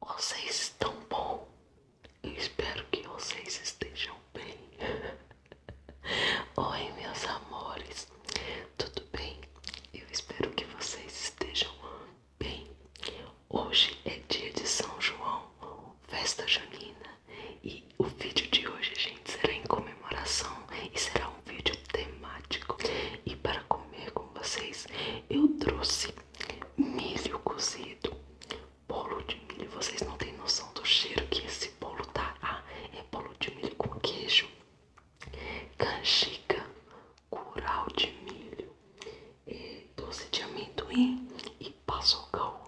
Vocês estão bom. Espero que vocês estejam bem. Oi, meus amores. Tudo bem? Eu espero que vocês estejam bem. Hoje é dia de São João, festa junina, e o vídeo de hoje, gente, será em comemoração e será um vídeo temático. E para comer com vocês, eu trouxe milho cozido, bolo de milho. Vocês não têm noção do cheiro que esse bolo tá. Ah, é bolo de milho com queijo, canjica, curau de milho, é doce de amendoim e paçocão.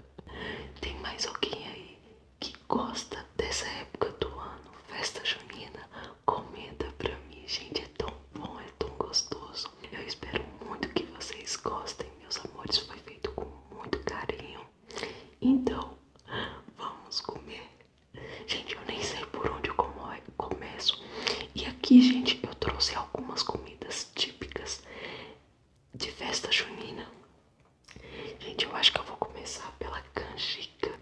Tem mais alguém aí que gosta dessa época do ano, festa junina, comenta pra mim, gente, é tão bom, é tão gostoso. Eu espero muito que vocês gostem, meus amores, foi feito com muito carinho. Então, vamos comer. Gente, eu nem sei por onde eu começo. E aqui, gente, eu trouxe algumas comidas típicas de festa junina. Gente, eu acho que eu vou começar pela canjica,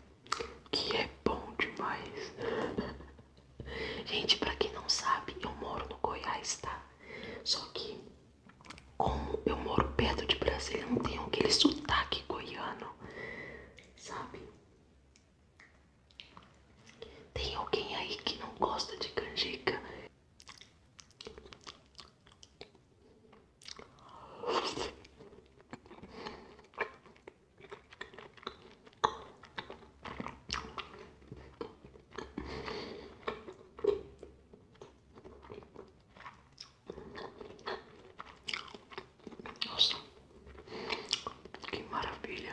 que é bom demais. Gente, pra quem não sabe, eu moro no Goiás, tá? Só que, como eu moro perto de Brasília, não tenho aquele sotaque goiano, sabe? Tem alguém aí que não gosta de canjica? Nossa, que maravilha.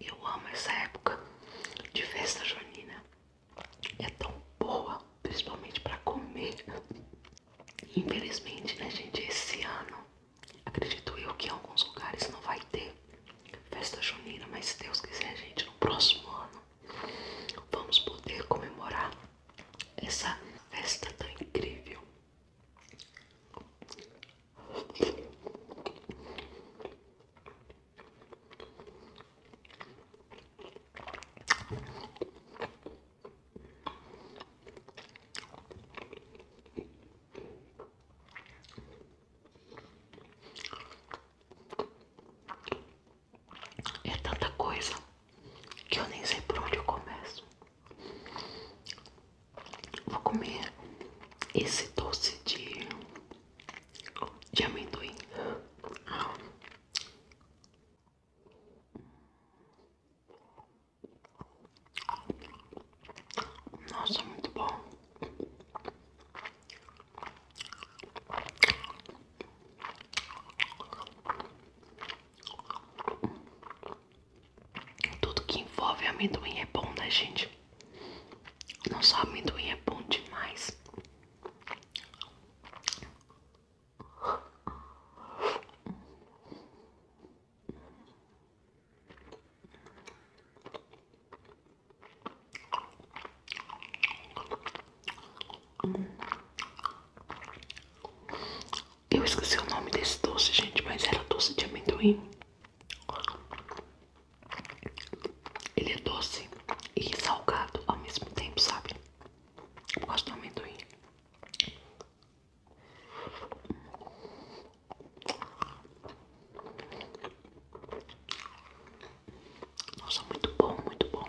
Eu amo essa época de festa junina. É tão boa, principalmente para comer. Infelizmente, né, gente, esse ano, acredito eu que em alguns lugares não vai ter festa junina, mas se Deus quiser, gente, no próximo ano vamos poder comemorar essa festa tá incrível. É tanta coisa que eu nem sei por onde eu começo. Vou comer esse doce de, de amendoim. Nossa, muito bom. Tudo que envolve amendoim é bom, né, gente? Não só amendoim é bom demais. Eu esqueci o nome desse doce, gente, mas era doce de amendoim. Ele é doce e salgado ao mesmo tempo, sabe? Eu gosto do amendoim. Nossa, muito bom, muito bom.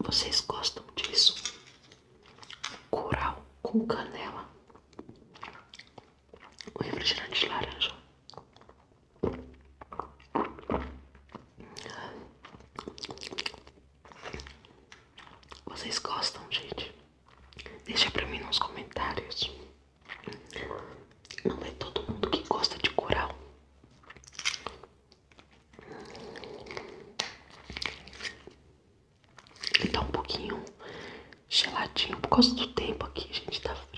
Vocês gostam disso? Coral com canela. O refrigerante de laranja. Vocês gostam, gente? Deixa pra mim nos comentários. Não é todo mundo que gosta de coral. Ele tá um pouquinho geladinho por causa do tempo aqui, gente. Tá frio.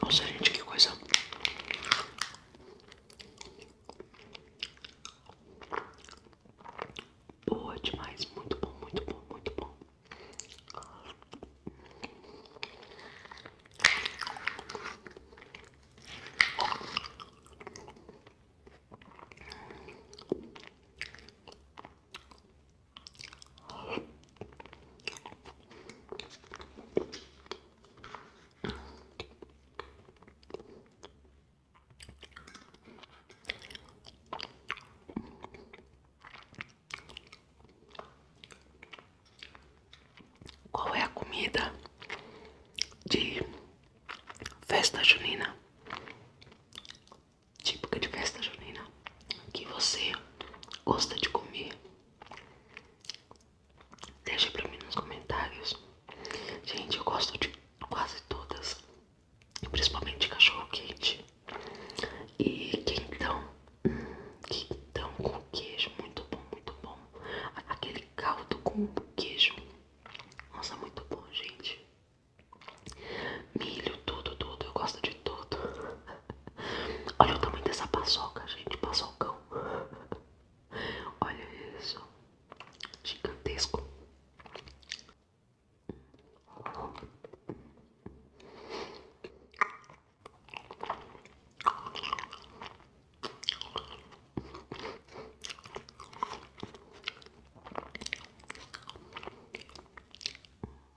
Nossa, gente, que coisa. Boa demais, muito bom, muito bom, muito bom. Qual é a comida de festa junina típica de festa junina que você gosta de comer. Deixa pra mim nos comentários. Gente, eu gosto de quase todas, principalmente cachorro quente e quentão, hum, quentão com queijo, muito bom, muito bom. Aquele caldo com queijo, nossa, muito bom, gente. Milho, tudo, tudo. Eu gosto de tudo. Olha o tamanho dessa paçoca, gente. Paçocão. Olha isso. Gigantesco.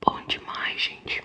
Bom demais, gente.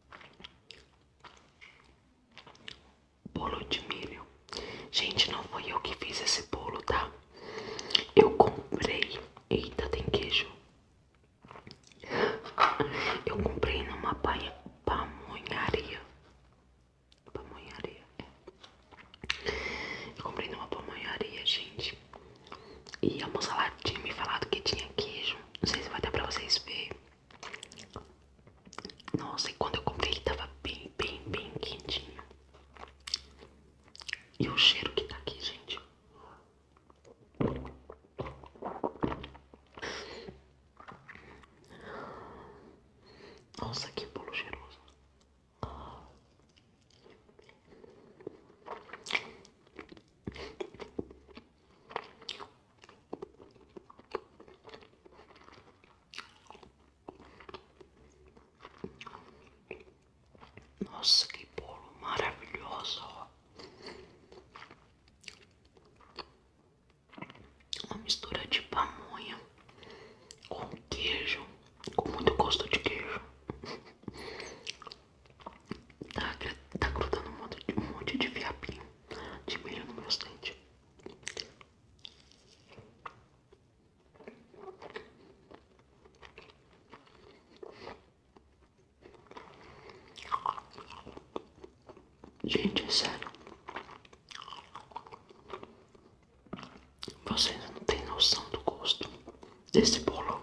Bolo de milho. Gente, não foi eu que fiz esse bolo, tá? Eu comprei. Eita, tem queijo. Eu comprei numa paia, pamonharia. Pamonharia, é. Eu comprei numa pamonharia, gente. E a moça me falado que tinha queijo. Não sei se vai dar pra vocês verem. Nossa, e quando eu comprei ele tava bem, bem, bem quentinho. E o cheiro que tá aqui, gente. Nossa, que bolo cheiroso. Nossa, que bolo maravilhoso! Uma mistura de pamonha com queijo, com muito gosto de queijo. Tá, tá grudando um monte, um monte de fiapinho de milho nos meus dentes. Gente, é sério. Vocês não têm noção do gosto desse bolo.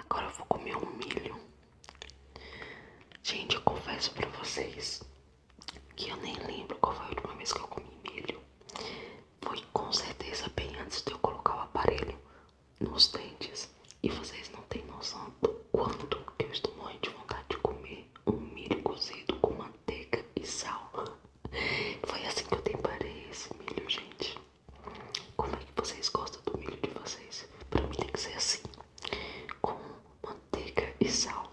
Agora eu vou comer um milho. Gente, eu confesso para vocês que eu nem lembro qual foi a última vez que eu comi milho. Foi com certeza bem antes de eu colocar o aparelho nos dentes. E vocês não têm noção do quanto que eu estou muito vontade de comer um milho cozido com manteiga e sal. Foi assim que eu temperei esse milho, gente. Como é que vocês gostam do milho de vocês? para mim tem que ser assim, com manteiga e sal.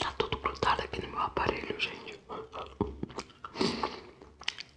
Tá tudo grudado aqui no meu aparelho, gente.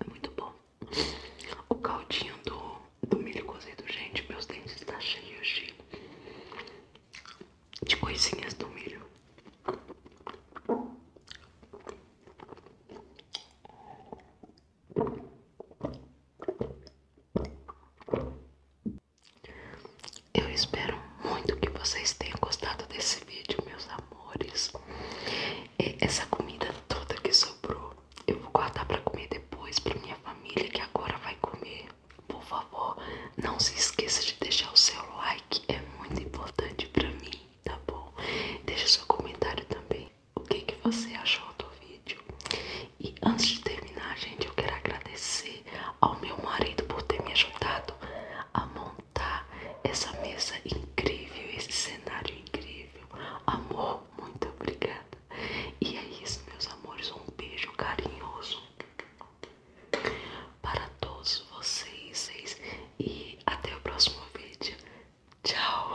É muito bom. O caldinho do, do milho cozido, gente, meus dentes estão tá cheios de, de coisinhas do milho. Eu espero muito que vocês tenham gostado desse vídeo, meus amores. essa comida toda que sobrou, eu vou guardar para comer depois para minha família que agora vai comer. Por favor, não se esqueça de deixar o seu like, é muito importante para mim, tá bom? Deixa seu comentário também o que, que você achou do vídeo. E antes de terminar, gente, eu quero agradecer ao meu marido por ter me ajudado a montar essa mesa incrível, esse cenário incrível. Amor, muito obrigada. E é isso, meus amores. Um beijo carinhoso para todos vocês. E até o próximo vídeo. Tchau.